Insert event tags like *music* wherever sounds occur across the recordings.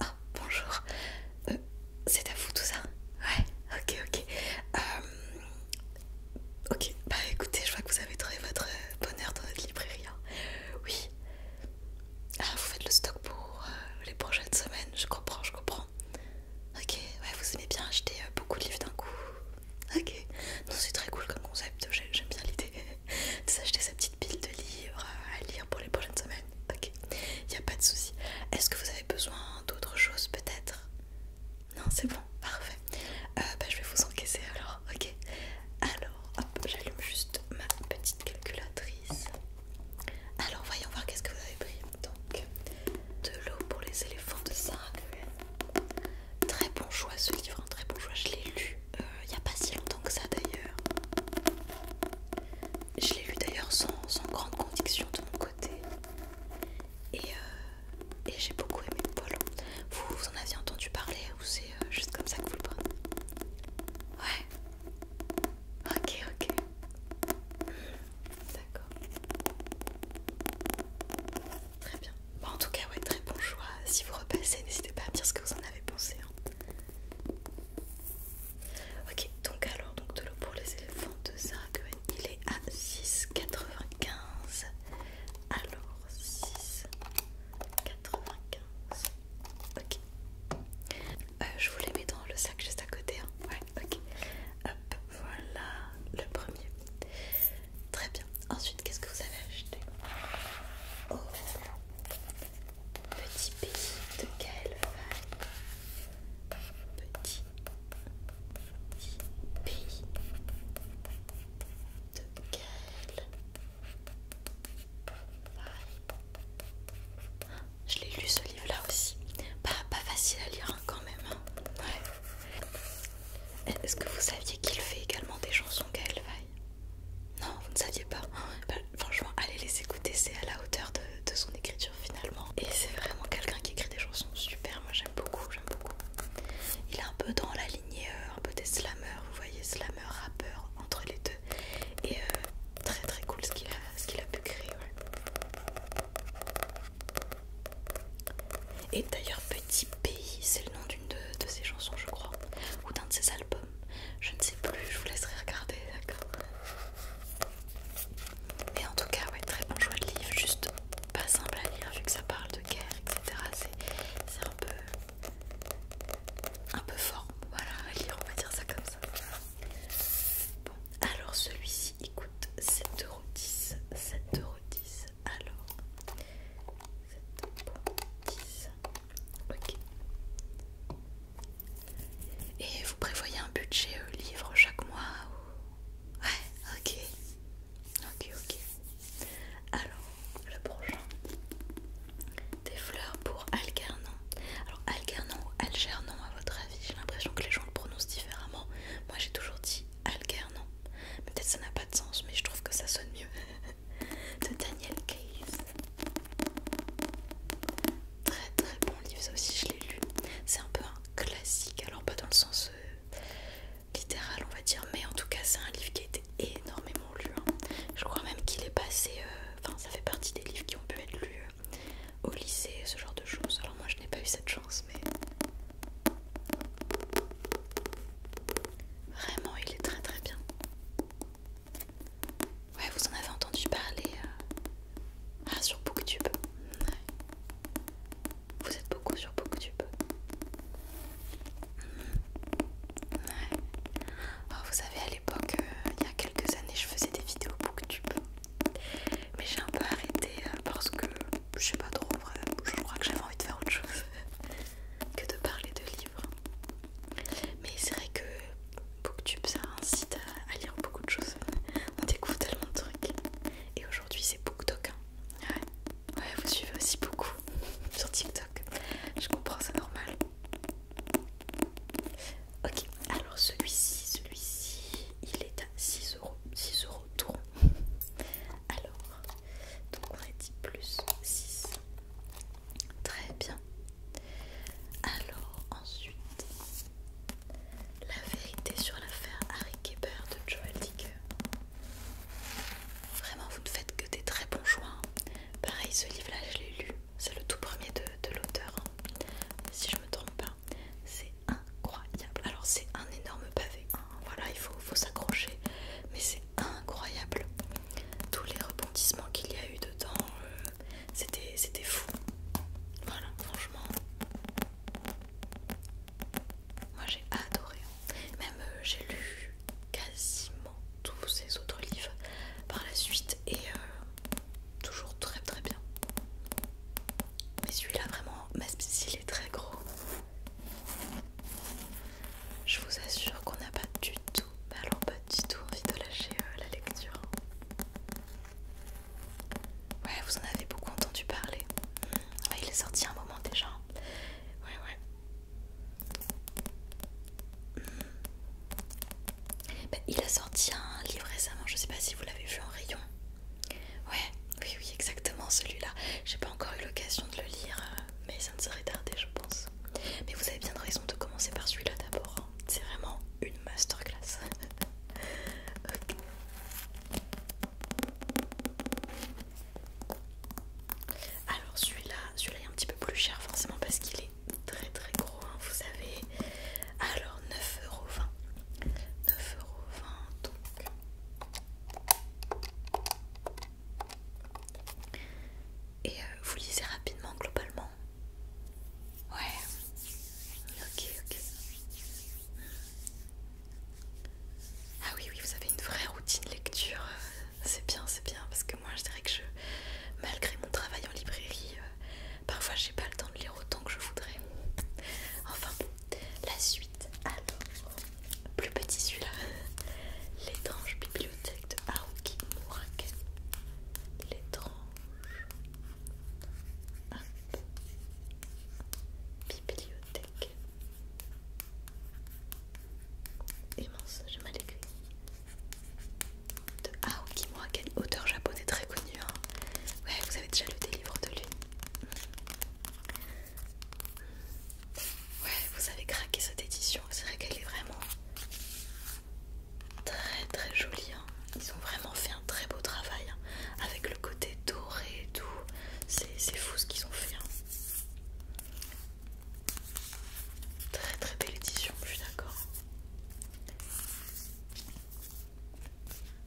Ah, bonjour. Euh, c'est à vous tout ça Ouais, ok, ok. Euh, ok, bah écoutez, je vois que vous avez trouvé votre bonheur dans notre librairie. Hein. Oui. Ah, vous faites le stock pour euh, les prochaines semaines, je comprends, je comprends. Ok, ouais, vous aimez bien acheter beaucoup de livres d'un coup, Ok, non, c'est très cool comme concept, j'aime bien l'idée *laughs* de s'acheter sa petite pile de livres à lire pour les prochaines semaines. Ok, il a pas de souci. Est-ce que vous avez besoin d'autre chose peut-être Non, c'est bon, parfait. Euh, bah, je vais vous encaisser alors, ok Alors, hop, j'allume juste ma petite calculatrice. Alors, voyons voir qu'est-ce que vous avez pris. Donc, de l'eau pour les éléphants de Saraguel. Très bon choix ce livre, très bon choix. Je l'ai lu euh, il n'y a pas si longtemps que ça d'ailleurs. Je l'ai lu d'ailleurs sans, grande conviction de mon côté. Et, euh, et j'ai beaucoup aimé Paul. Vous, en aviez entendu parler ou c'est euh, juste comme ça que vous le prenez Ouais. Ok, ok. D'accord. Très bien. Bon, en tout cas, ouais, très bon choix. Si vous repassez, n'hésitez pas à me dire ce que vous en avez pensé. Hein. Ok, donc alors, donc de l'eau pour les éléphants de Sarah il est à 6,95. Alors, 6,95. Ok. Euh, je vous les mets dans le sac juste à côté. Hein ok. Hop, voilà le premier. Très bien. Ensuite, qu'est-ce que vous avez acheté Oh, petit pays de Gaël Petit, petit pays de Gaël je l'ai lu ce livre là aussi. Pas, facile à lire hein, quand même. Hein. Est-ce que vous saviez qu'il fait également des chansons Gaël Non, vous ne saviez pas. Bah, franchement, allez les écouter, c'est à la hauteur de, son écriture finalement. Et c'est vraiment quelqu'un qui écrit des chansons super, moi j'aime beaucoup, j'aime beaucoup. Il est un peu dans la lignée, euh, un peu des slammers, vous voyez, slammers, rappeurs entre les deux. Et euh, très très cool ce qu'il a, a pu créer. Et d'ailleurs, Petit Pays, c'est le nom d'une de, ses chansons, je crois, ou d'un de ses albums. Je ne sais plus, je vous laisserai regarder, d'accord Mais en tout cas, ouais, très bon choix de livre, juste pas simple à lire vu que ça parle de guerre, etc. C'est un peu. un peu fort, voilà, à lire, on va dire ça comme ça. Bon, alors celui-ci. Il coûte 7,10€. 7,10€. Alors, 7,10€. Ok. Et vous prévoyez un budget euh, livre chaque mois Ouais, ok. Ok, ok. Alors, le prochain. Des fleurs pour Algernon. Alors Algernon ou Algernon à votre avis J'ai l'impression que les gens le prononcent différemment. Moi j'ai toujours dit non Peut-être ça n'a pas de sens, mais je trouve que ça sonne mieux. *laughs* de Daniel Case. Très très bon livre, ça aussi je l'ai lu. C'est un peu un classique, alors pas dans le sens euh, littéral on va dire, mais en tout cas c'est un livre qui a été énormément lu. Hein. Je crois même qu'il est passé, euh, enfin ça fait partie des livres qui ont pu être lus au lycée, ce genre de choses. Alors moi je n'ai pas eu cette chance, mais vraiment il est très très bien. Ouais, vous en avez entendu parler euh, ah, sur Booktube. Ouais. Vous êtes beaucoup sur Booktube. Ouais. Oh, vous savez, à l'époque, euh, il y a quelques années, je faisais des vidéos Booktube. Mais j'ai un peu arrêté euh, parce que je sais pas trop, je crois que j'avais envie de faire autre chose *laughs* que de parler de livres. Mais c'est vrai que Booktube ça incite à, lire beaucoup de choses. On découvre tellement de trucs. Et aujourd'hui c'est BookTok. Hein. ouais, vous suivez aussi beaucoup *laughs* sur TikTok. Je comprends, c'est normal. Ok, alors celui-ci, celui-ci, il est à 6 euros. 6 euros tout. Alors, donc on a dit plus 6. Très bien. Alors, ensuite, la vérité sur l'affaire Harry Geber de Joel Dick Vraiment, vous ne faites que des très bons choix. Hein. Pareil, ce livre-là, je l'ai lu. C'est le tout premier de, l'auteur, hein. si je me trompe pas c'est incroyable. Alors c'est un énorme pavé, hein. voilà, il faut, s'accrocher, mais c'est incroyable. Tous les rebondissements qu'il y a eu dedans, euh, c'était fou. Voilà, franchement. Moi j'ai adoré. Hein. Même euh, j'ai lu quasiment tous ces autres livres par la suite et euh, toujours très très bien. Mais celui-là vraiment, il est très gros. Je vous assure qu'on n'a pas du tout, alors pas du tout envie de lâcher euh, la lecture. Ouais, vous en avez beaucoup entendu parler. Ah, il est sorti un moment déjà. Ouais, ouais. Bah, il a sorti un livre récemment, je sais pas si vous l'avez vu en rayon. Ouais, oui, oui, exactement celui-là. J'ai pas encore eu l'occasion de le lire, euh, mais ça ne serait tardé, je pense. Mais vous avez bien de raison de commencer par celui-là d'abord. Hein. C'est vraiment une masterclass. *laughs* Alors celui-là, celui-là est un petit peu plus cher forcément parce qu'il est très très gros, hein, vous avez Alors 9,20€. 9,20€ donc. Et euh, vous lisez rapidement globalement Ouais. Ok, ok. Ah oui, oui, vous avez une vraie routine lecture. Euh, c'est bien, c'est bien. Parce que moi, je dirais que je, malgré mon travail en librairie, euh, Parfois, j'ai pas le temps de lire autant que je voudrais. Enfin bon, la suite. Alors, plus petit celui-là. L'étrange bibliothèque de Haruki Murake. L'étrange bibliothèque. Immense, j'ai mal écrit de Aoki quel auteur japonais très connu. Hein. Ouais, vous avez déjà lu des livres de lui. Ouais, vous avez craqué cette édition. C'est vrai qu'elle est vraiment très très jolie. Hein. Ils ont vraiment fait un très beau travail hein, avec le côté doré et tout. C'est fou ce qu'ils ont fait. Très très belle édition, je suis d'accord.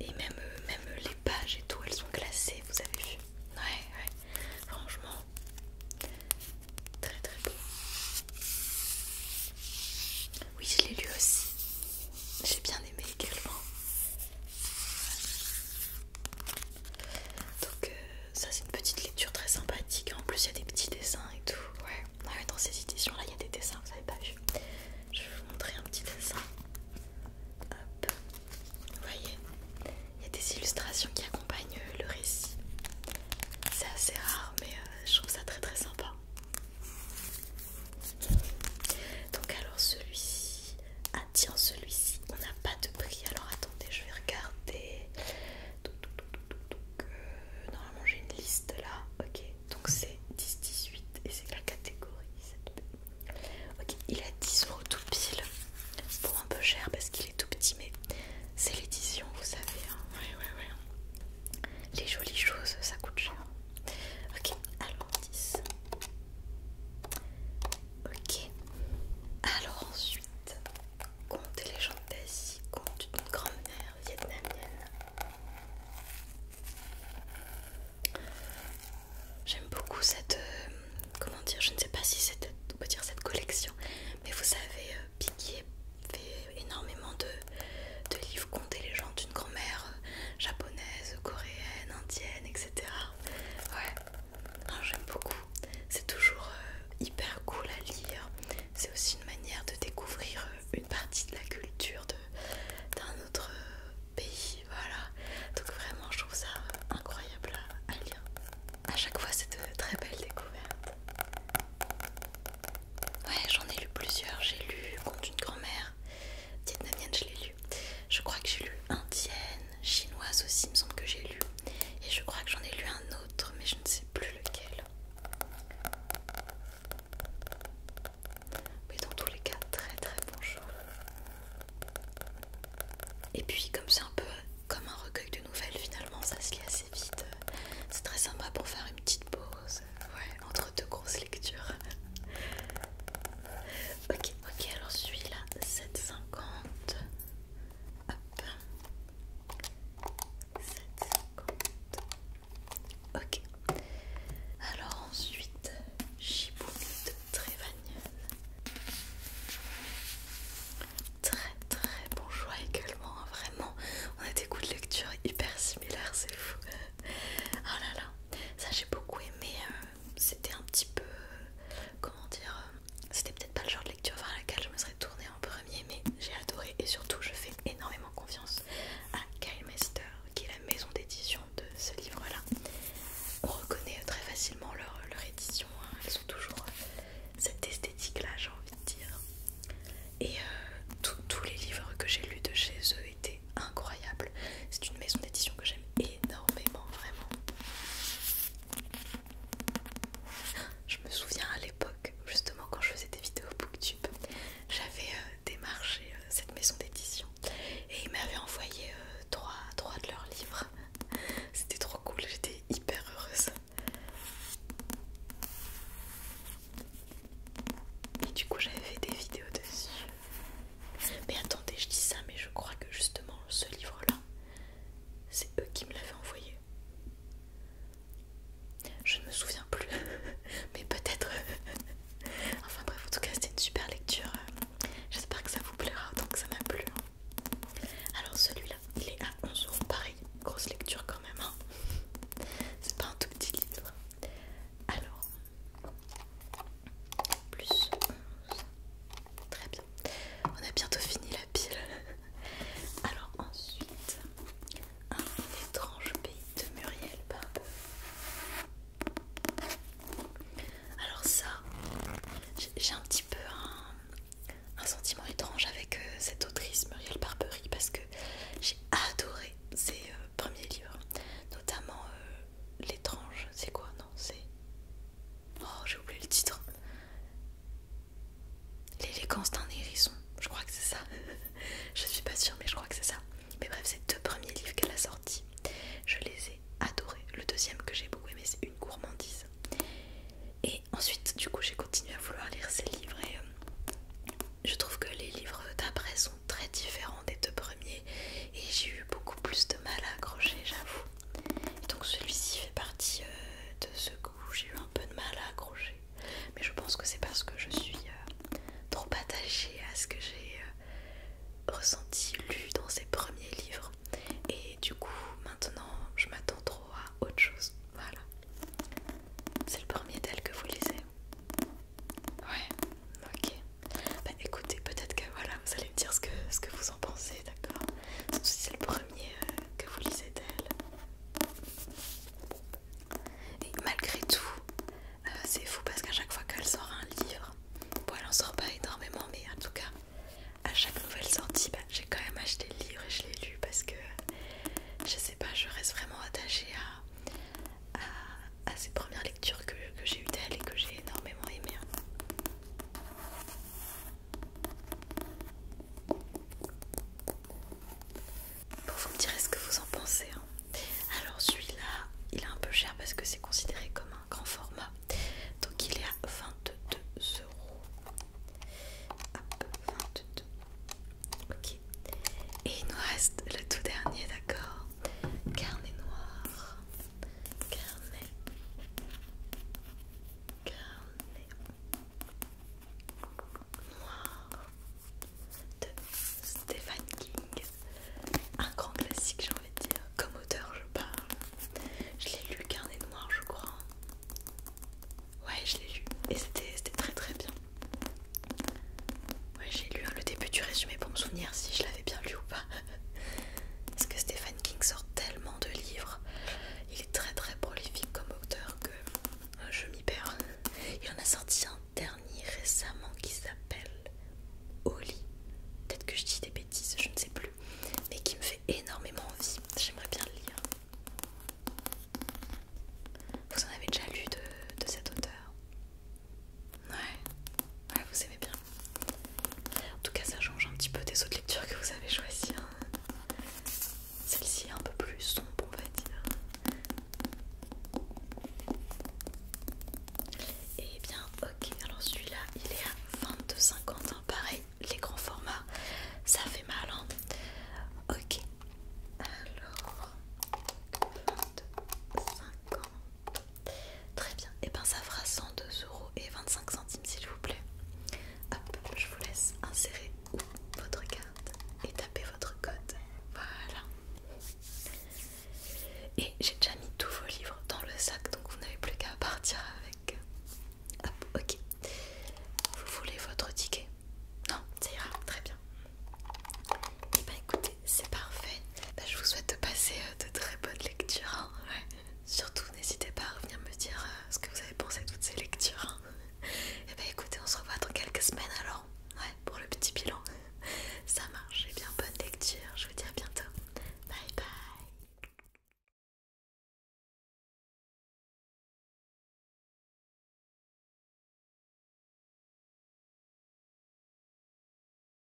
Et même, euh, même les pages et tout, elles sont classées, vous avez vu Ouais, ouais, franchement, très très beau. Oui, je l'ai lu aussi. J'ai bien aimé également. Donc euh, ça c'est une petite lecture très sympathique. En plus il y a des petits dessins et tout. Ouais. Ah dans ces éditions là il y a des dessins, vous avez pas vu Je vais vous montrer un petit dessin. Hop. Vous voyez Il y a des illustrations qui accompagnent le récit. C'est assez rare mais euh, je trouve ça très très sympa. Donc alors celui-ci... Ah tiens celui-ci, on n'a pas de prix. Alors attendez, je vais regarder. Donc, euh, normalement j'ai une liste là, ok, donc c'est 10-18 et c'est la catégorie Ok, il a 10 euros tout pile, pour un peu cher parce qu'il est tout petit, mais c'est l'édition, vous savez, hein. Les jolies choses ça coûte cher. Ok, alors 10. Ok, alors ensuite, compte les gens d'Asie, compte une grande mère J'aime beaucoup cette... Euh, comment dire Je ne sais pas si c'est... peut dire cette collection. Mais vous savez, euh, Piggy fait énormément de, livres compter les gens d'une grand-mère euh, japonaise, coréenne, indienne, etc. Ouais, j'aime beaucoup. C'est toujours hyper cool à lire c'est aussi une manière de découvrir euh, une partie de la culture d'un autre euh, pays. Voilà, donc vraiment, je trouve ça euh, incroyable à, lire. A chaque fois, c'est de très belles découvertes. Ouais, j'en ai lu plusieurs. J'ai lu contre d'une grand-mère vietnamienne, je l'ai lu. Je crois que j'ai lu indienne, chinoise aussi, me semble que j'ai lu. Et je crois que j'en ai lu un autre, mais je ne sais plus lequel. Mais dans tous les cas, très très bon Et puis comme c'est un peu comme un recueil de nouvelles finalement, ça se lit assez vite. C'est très sympa pour faire une petite pause, ouais, entre deux grosses lectures. *laughs* ok, ok, alors celui-là, 7,50. Hop. Ok. Alors ensuite, Chiboum de Très très bon choix également, hein, vraiment. On a des goûts de lecture hyper similaires, c'est fou. Oh *laughs* là là, ça j'ai beaucoup aimé. Euh, c'était un petit peu, euh, comment dire, euh, c'était peut-être pas le genre de lecture vers laquelle je me serais tournée en premier, mais j'ai adoré et surtout je fais énormément confiance à Kyle Master qui est la maison d'édition de ce livre-là. On reconnaît très facilement leur, édition, hein. elles sont toujours euh, cette esthétique-là, j'ai envie de dire. Et euh, tous les livres que j'ai lus de chez eux étaient incroyables. C'est une maison d'édition que j'aime énormément, vraiment. Je me souviens à l'époque, justement quand je faisais des vidéos Booktube, j'avais euh, démarché euh, cette maison d'édition et ils m'avaient envoyé euh, trois, trois de leurs livres. *laughs* C'était trop cool, j'étais hyper heureuse. Et du coup j'avais fait des vidéos dessus. Mais attendez, je dis ça, mais je crois que justement ce livre-là, c'est eux qui me l'avaient envoyé. Je ne me souviens plus, *laughs* mais peut-être. *laughs* enfin bref, en tout cas, c'était une super lecture. J'espère que ça vous plaira tant que ça m'a plu. Hein. Alors celui-là, il est à 11 euros pareil. Grosse lecture quand même. Hein. *laughs* C'est pas un tout petit livre. Alors, plus Très bien. On a bientôt fini la pile. Alors ensuite, un étrange pays de Muriel Barbery. Alors ça, j'ai un petit peu un, sentiment étrange avec euh, cette autrice Muriel Barbery parce que j'ai adoré ses euh, premiers livres, notamment euh, L'étrange, c'est quoi Non, c'est Oh, j'ai oublié le titre. L'élégance d'un hérisson, je crois que c'est ça. *laughs* je suis pas sûre, mais je crois que c'est ça. Mais bref, ces deux premiers livres qu'elle a sortis, je les ai adorés. Le deuxième que j'ai beaucoup aimé, c'est Une gourmandise. Et ensuite, du coup, j'ai continué à vouloir lire ces livres et euh, je trouve que les livres d'après sont très différents des deux premiers et j'ai eu beaucoup plus de mal à accrocher, j'avoue. Et donc celui-ci fait partie euh, de ce que j'ai eu un peu de mal à accrocher. Mais je pense que c'est parce que je suis euh, trop attachée à ce que j'ai euh, ressenti, lu dans ses premiers livres. Et du coup, maintenant, je m'attends trop à autre chose. Voilà. C'est le premier tel que vous lisez. Ouais, ok. Bah écoutez, peut-être que voilà, vous allez me dire ce que, ce que vous en pensez d'accord C'est le premier euh, que vous lisez d'elle. Et malgré tout, euh, c'est fou parce qu'à chaque fois qu'elle sort un livre, bon, elle en sort pas énormément, mais en tout cas, à chaque nouvelle sortie, bah, j'ai quand même acheté le livre et je l'ai lu parce que je sais pas, je reste vraiment attachée à, à, ces premières lectures que, que j'ai eues d'elle et que j'ai énormément aimé. Hein. Bon, vous me direz ce que vous en pensez. Hein. Alors celui-là, il est un peu cher parce que c'est considéré comme un grand format. Donc il est à 22 euros. 22. Ok. Et il nous reste le tout dernier, d'accord Carnet noir carnet, noir de Stephen King, un grand classique j'ai envie de dire, comme auteur je parle, je l'ai lu carnet noir je crois, ouais je l'ai lu et c'était très très bien. Ouais, j'ai lu le début du résumé pour me souvenir si je l'avais bien lu ou pas. *laughs* Parce que Stephen King sort tellement de livres, il est très très prolifique comme auteur que euh, je m'y perds. Il en a sorti un dernier récemment qui s'appelle Oli. Peut-être que je dis des bêtises, je ne sais plus, mais qui me fait énormément envie. J'aimerais bien le lire. Vous en avez déjà lu de, cet auteur Ouais, ouais, vous aimez bien. En tout cas, ça change un petit peu des autres lectures que vous avez choisies. Hein. Celle-ci est un peu plus sombre, on va dire. Et eh bien, ok, alors celui-là, il est à 22,50. Pareil, les grands formats, ça fait mal. Hein. Ok, alors 2250 Très bien, et eh ben, ça fera 102,25€ s'il vous plaît. Hop, je vous laisse insérer votre carte et taper votre code. Voilà. Et j'ai déjà mis tous vos livres dans le sac, donc vous n'avez plus qu'à partir avec. Hop, ok. Vous voulez votre ticket Non, ça ira, très bien. Et eh ben, écoutez, c'est parfait. Ben, je vous souhaite de passer euh, de très bonnes lectures. Hein. Surtout, n'hésitez pas à revenir me dire euh, ce que vous avez pensé de toutes ces lectures. Et hein. eh bah ben, écoutez, on se revoit dans quelques semaines alors, ouais, pour le petit bilan. Ça marche, et eh bien bonne lecture, je vous dis à bientôt. Bye bye.